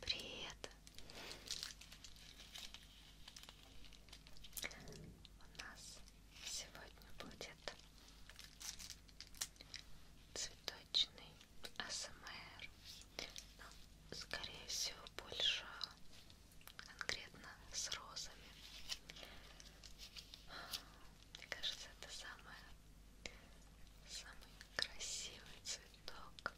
Привет. У нас сегодня будет цветочный АСМР. Но, ну, скорее всего, больше конкретно с розами. Мне кажется, это самое, самый красивый цветок.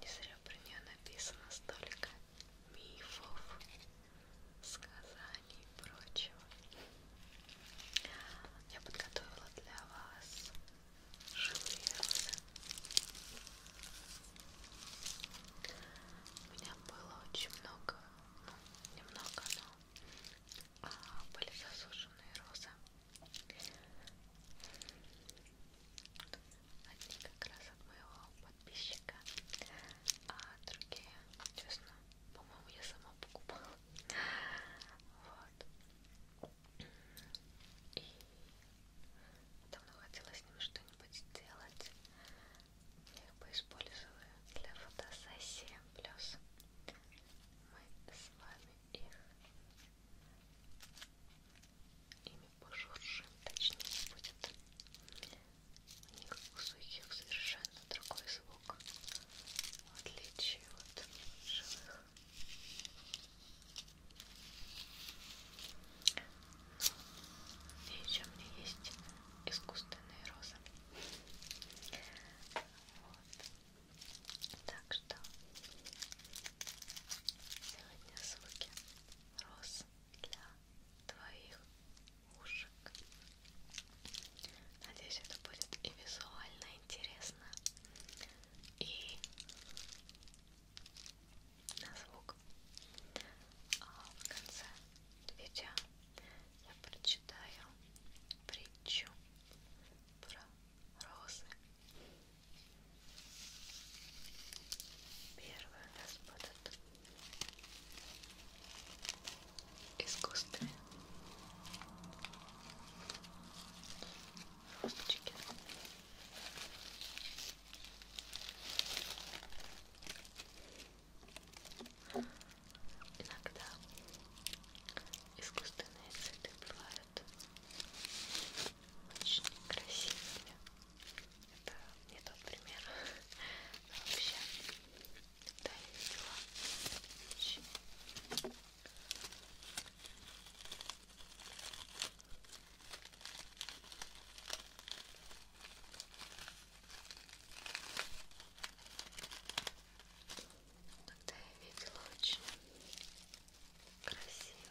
Не зря про нее написано столько мифов, сказаний и прочего. Я подготовила для вас живые розы. У меня было очень много, ну, немного, но а, были засушенные розы. Одни как раз от моего подписчика, а другие, честно, по-моему, я сама покупала. Вот. И давно хотела с ним что-нибудь сделать. Я его использую для фотосессии. Плюс мы с вами их ими пожуршим, точнее будет. У них у сухих совершенно другой звук, в отличие от живых. И еще у меня есть искусственные розы. Вот. Так что сегодня звуки роз для твоих ушек. Надеюсь, это будет и визуально интересно, и на звук. А в конце видео я прочитаю притчу про розы. Первое у нас будут искусственные розочки. Иногда искусственные цветы бывают очень красивыми. Это не тот пример. Но вообще, да, я видела вещи. Такие Тогда я видела очень красивые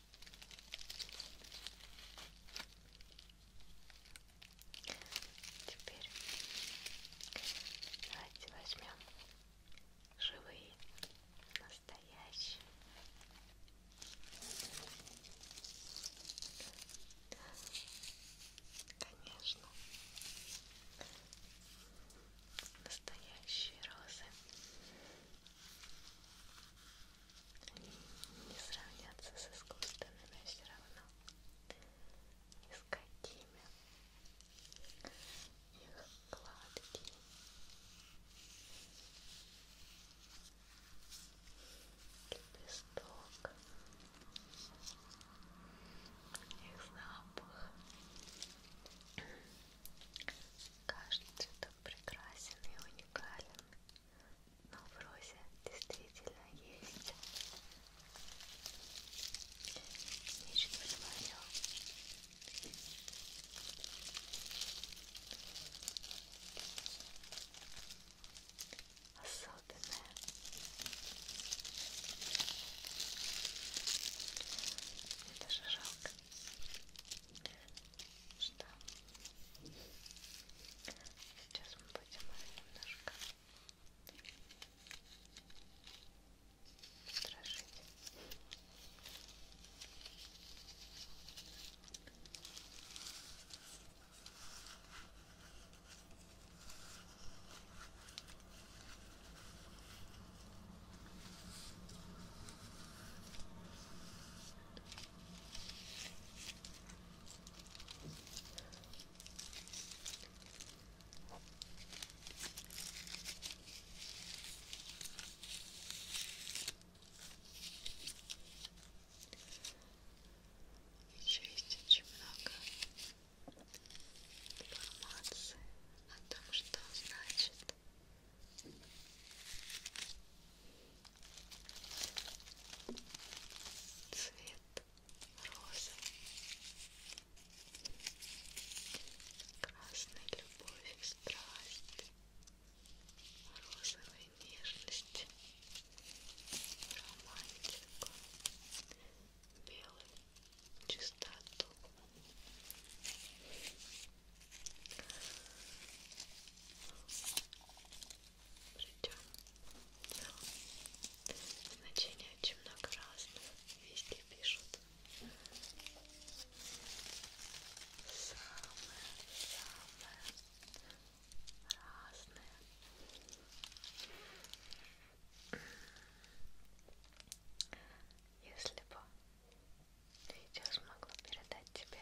Теперь давайте возьмем живые, настоящие. Конечно, настоящие розы. Они не сравнятся с искусственными а все равно. Ни с какими. Их гладкие. Лепесток. Их запах. Каждый цветок прекрасен и уникален но в розе действительно есть нечто свое. Особенное. Мне даже жалко что сейчас мы будем немножко страшить. Сейчас еще есть очень много информации о том, что значит цвет розы, красная любовь и страсть, розовая нежность, романтика, белый чистоту. Причем ну, значений очень много разных. Везде пишут. Самое-самое разное. Если бы видео смогло передать тебе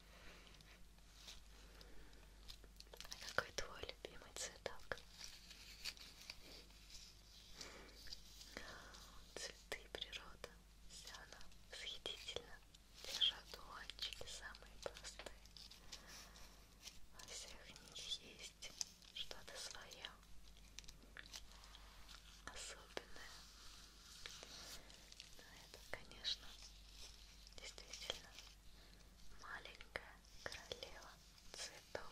А какой твой любимый цветок? Цветы природа, вся она восхитительна. Те шатуанчики самые простые. Во всех них есть что-то свое особенное. Но ну, это, конечно, действительно маленькая королева цветов.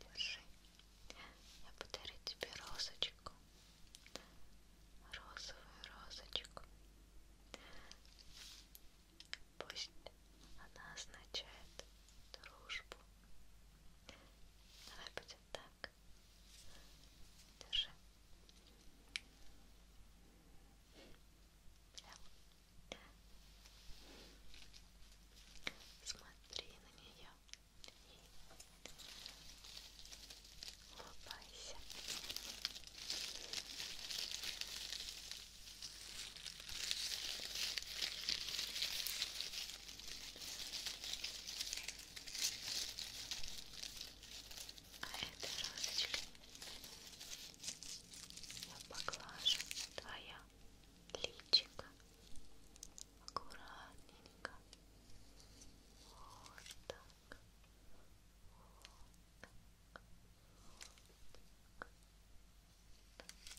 Держи. Я подарю тебе розочку. Розовую розочку. Пусть она означает дружбу. Давай будет так. Держи. Да. Смотри на нее и улыбайся. Хорошо а этой розочкой я поглажу твоя личико аккуратненько вот так вот так, вот так. Так. Вот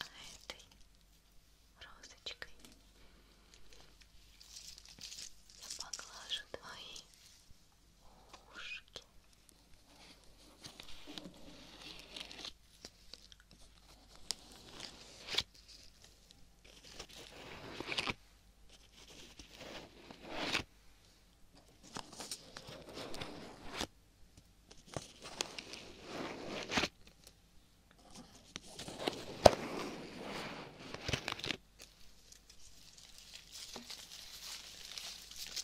А этой розочкой я поглажу твои ушки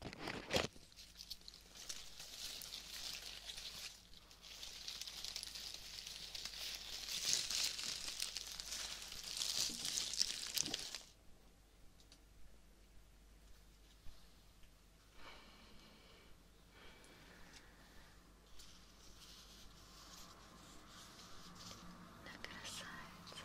Да, красавица, смотри.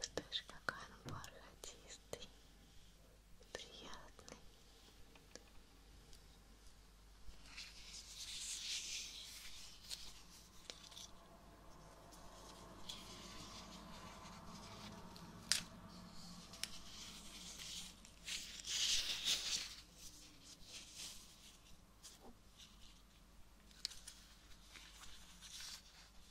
Чувствуешь, какой он бархатистый? приятный. Итак,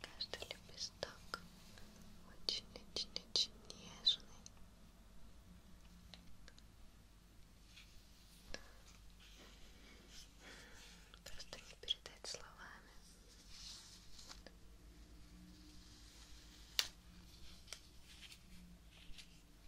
Каждый лепесток очень-очень-очень нежный. Просто не передать словами.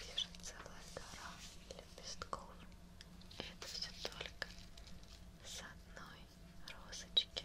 Вижу целая гора лепестков. И это все только с одной розочки.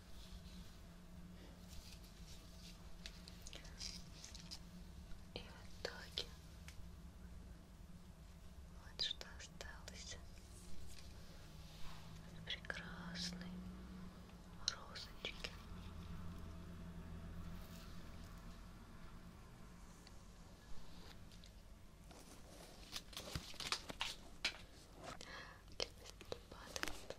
И в итоге вот что осталось. Прекрасные розочки. Лепестки падают.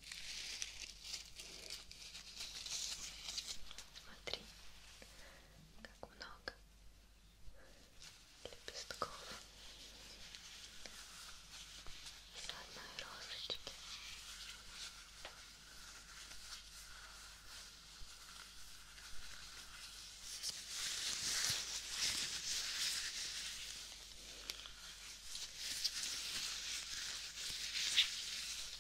Смотри, как много лепестков с одной розочки.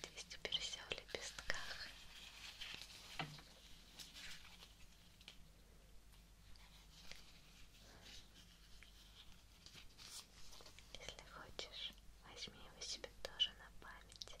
Здесь теперь все в лепестках. Если хочешь, возьми его себе тоже на память.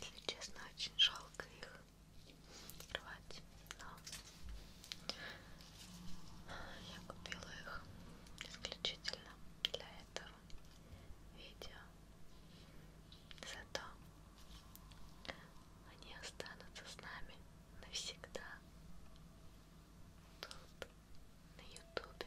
Если честно, очень жалко их рвать, но я купила их исключительно для этого видео. Зато они останутся с нами навсегда тут, на ютубе.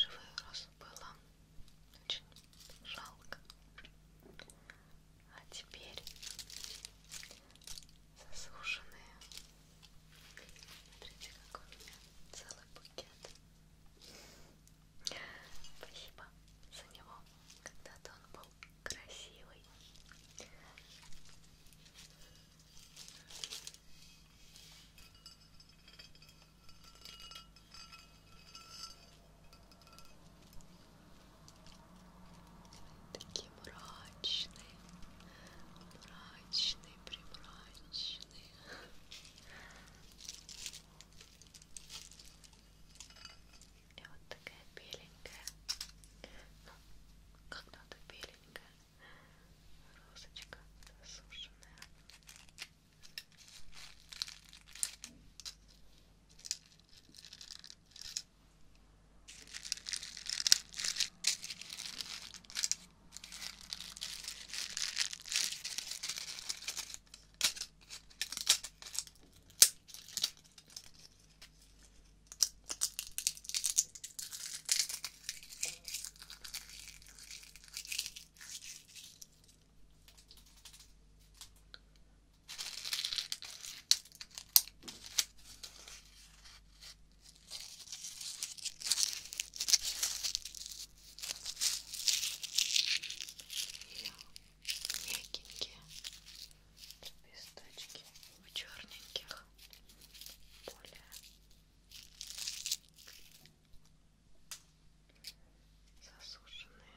Живой роз было очень жалко. А теперь засушенные. Смотрите, какой у меня целый букет. Спасибо за него. Когда-то он был красивый. Такие мрачные, мрачные, примрачные. И вот такая беленькая. Ну, когда-то беленькая розочка засушенная мягенькие лепесточки в черненьких более засушенные.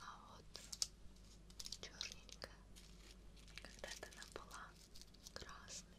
А вот черненькая, когда-то она была красной.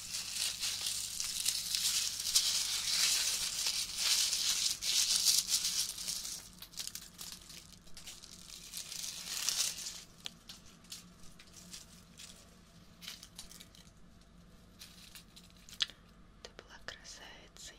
Ты была красавицей.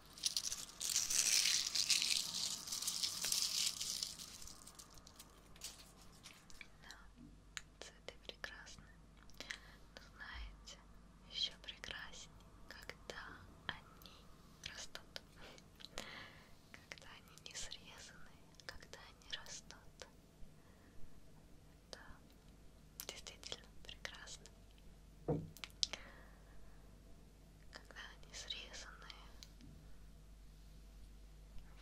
Да, цветы прекрасны. Но знаете, еще прекрасней, когда они растут. Когда они не срезаны, когда они растут. Да, действительно прекрасно. Когда они срезаны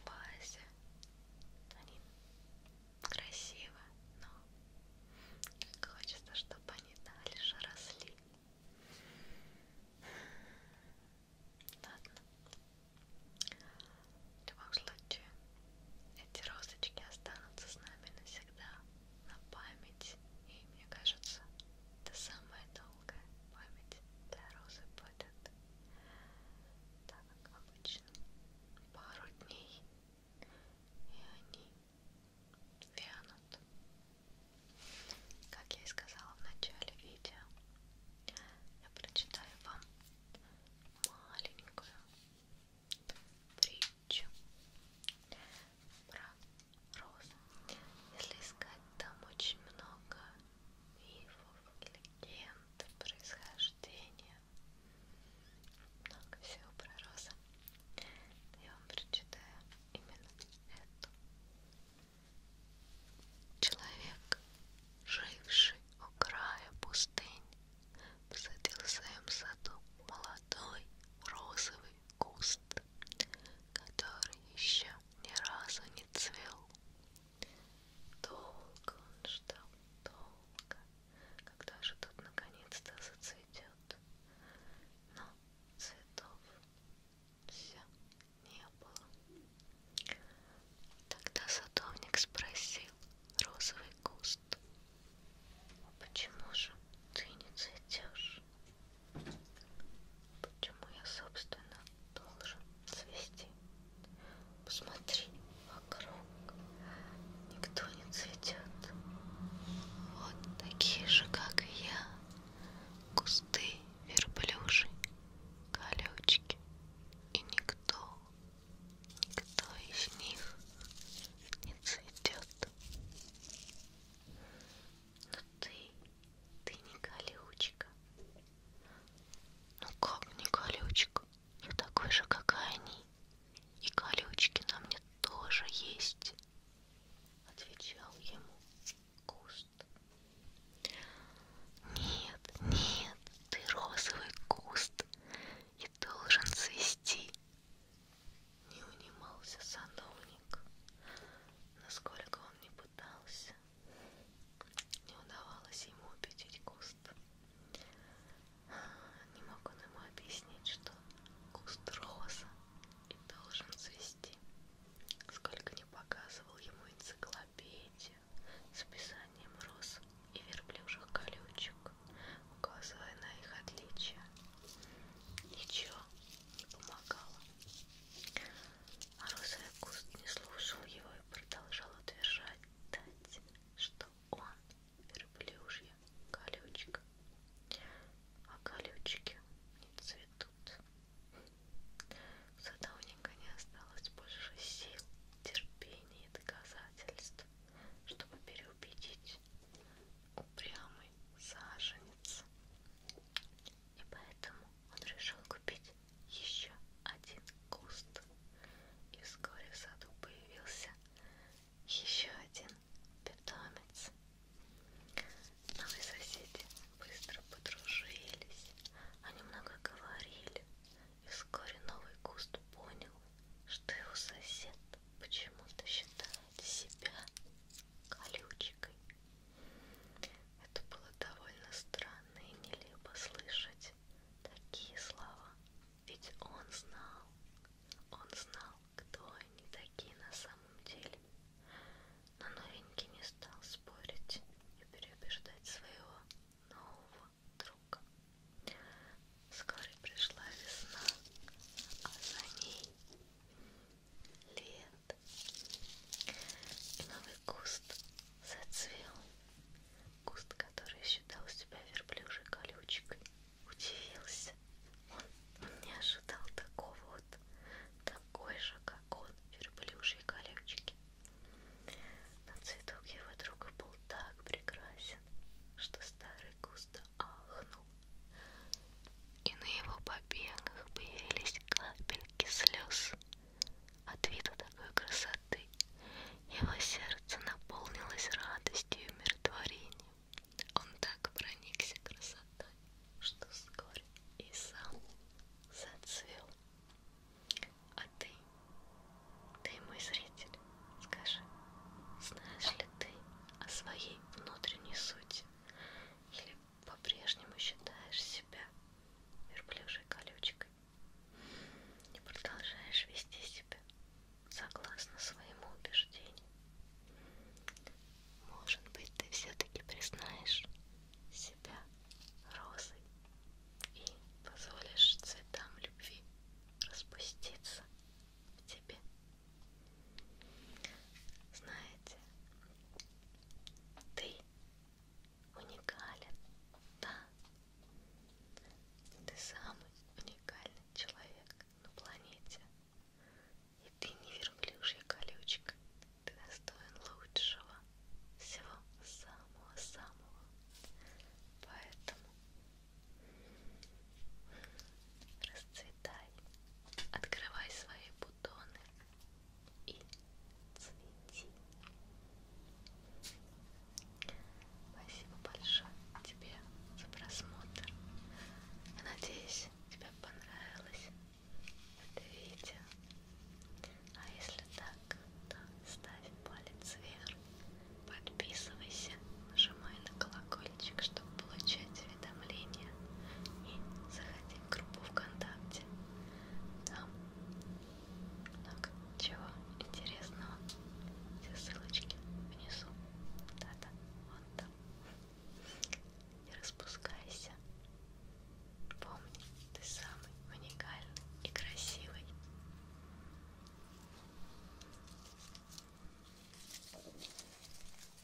в вазе, они красивы, но хочется, чтобы они дальше росли. Ладно. В любом случае, эти розочки останутся с нами навсегда на память. И мне кажется, это самая долгая память для розы будет. Так как обычно пару дней и они вянут. Как я и сказала в начале видео, я прочитаю вам маленькую притчу про розы. Если искать, там очень много мифов, легенд, происхождения. Много всего про розы. Я вам прочитаю именно эту. Человек, живший у края пустыни, посадил в своем саду молодой розовый куст, который еще ни разу не цвел. Долго он ждал, долго, когда же тут наконец-то зацветет. Но цветов все не было. Тогда садовник спросил розовый куст, а почему же ты не цветешь? Почему я, собственно, должен цвести? Посмотри вокруг. Никто не цветет. Вот такие же, как и я. Кусты, верблюжи, колючки. И никто, никто из них не цветет. Но ну ты, ты не колючка. Ну как не колючка? Я ну такой же, как и они. И колючки на мне тоже есть. Отвечал ему куст. Нет, нет, ты розовый куст и должен цвести не унимался садовник, насколько он не пытался, не удавалось ему убедить куст. Не мог он ему объяснить, что куст роза и должен цвести. Сколько не показывал ему энциклопедию с описанием роз и верблюжих колючек, указывая на их отличия. Ничего не помогало. А розовый куст не слушал его и продолжал утверждать, что он верблюжья колючка, а колючки не цветут. У садовника не осталось больше сил, терпения и доказательств, чтобы переубедить упрямый саженец. И поэтому он решил купить еще один куст. И вскоре в саду появился еще один питомец. Новые соседи быстро подружились, они много говорили, и вскоре новый куст понял, что его сосед почему-то считает себя колючкой. Это было довольно странно и нелепо слышать такие слова, ведь он знал, он знал, кто они такие на самом деле. Но новенький не стал спорить и переубеждать своего нового друга. Вскоре пришла весна, а за ней лет. И новый куст зацвел. Куст, который считал себя верблюжей колючкой, удивился. Он, он не ожидал такого вот, такой же, как он, верблюжьей колючки. Но цветок его друга был так прекрасен, что старый куст ахнул и на его побегах появились капельки слез. От вида такой красоты его сердце наполнилось радостью и умиротворением. Он так проникся красотой, что вскоре и сам зацвел. А ты, ты мой зритель, скажи, знаешь ли ты, о своей внутренней сути? Или по-прежнему считаешь себя верблюжей колючкой и продолжаешь вести себя согласно своему убеждению? Может быть, ты все-таки признаешь себя розой и позволишь цветам любви распуститься в тебе. Знаете, ты уникален, да. Ты самый уникальный человек на планете. И ты не верблюжья колючка. Ты достоин лучшего. Всего самого-самого. Поэтому расцвет расцветай, открывай свои бутоны и цвети. Спасибо большое тебе за просмотр. Я надеюсь, тебе понравилось это видео. А если так, то ставь палец вверх, подписывайся нажимай на колокольчик, чтобы получать уведомления и заходи в группу ВКонтакте. Там много чего интересного. Все ссылочки внизу. Да-да, вон там. Не распускайся. Помни, ты самый уникальный и красивый.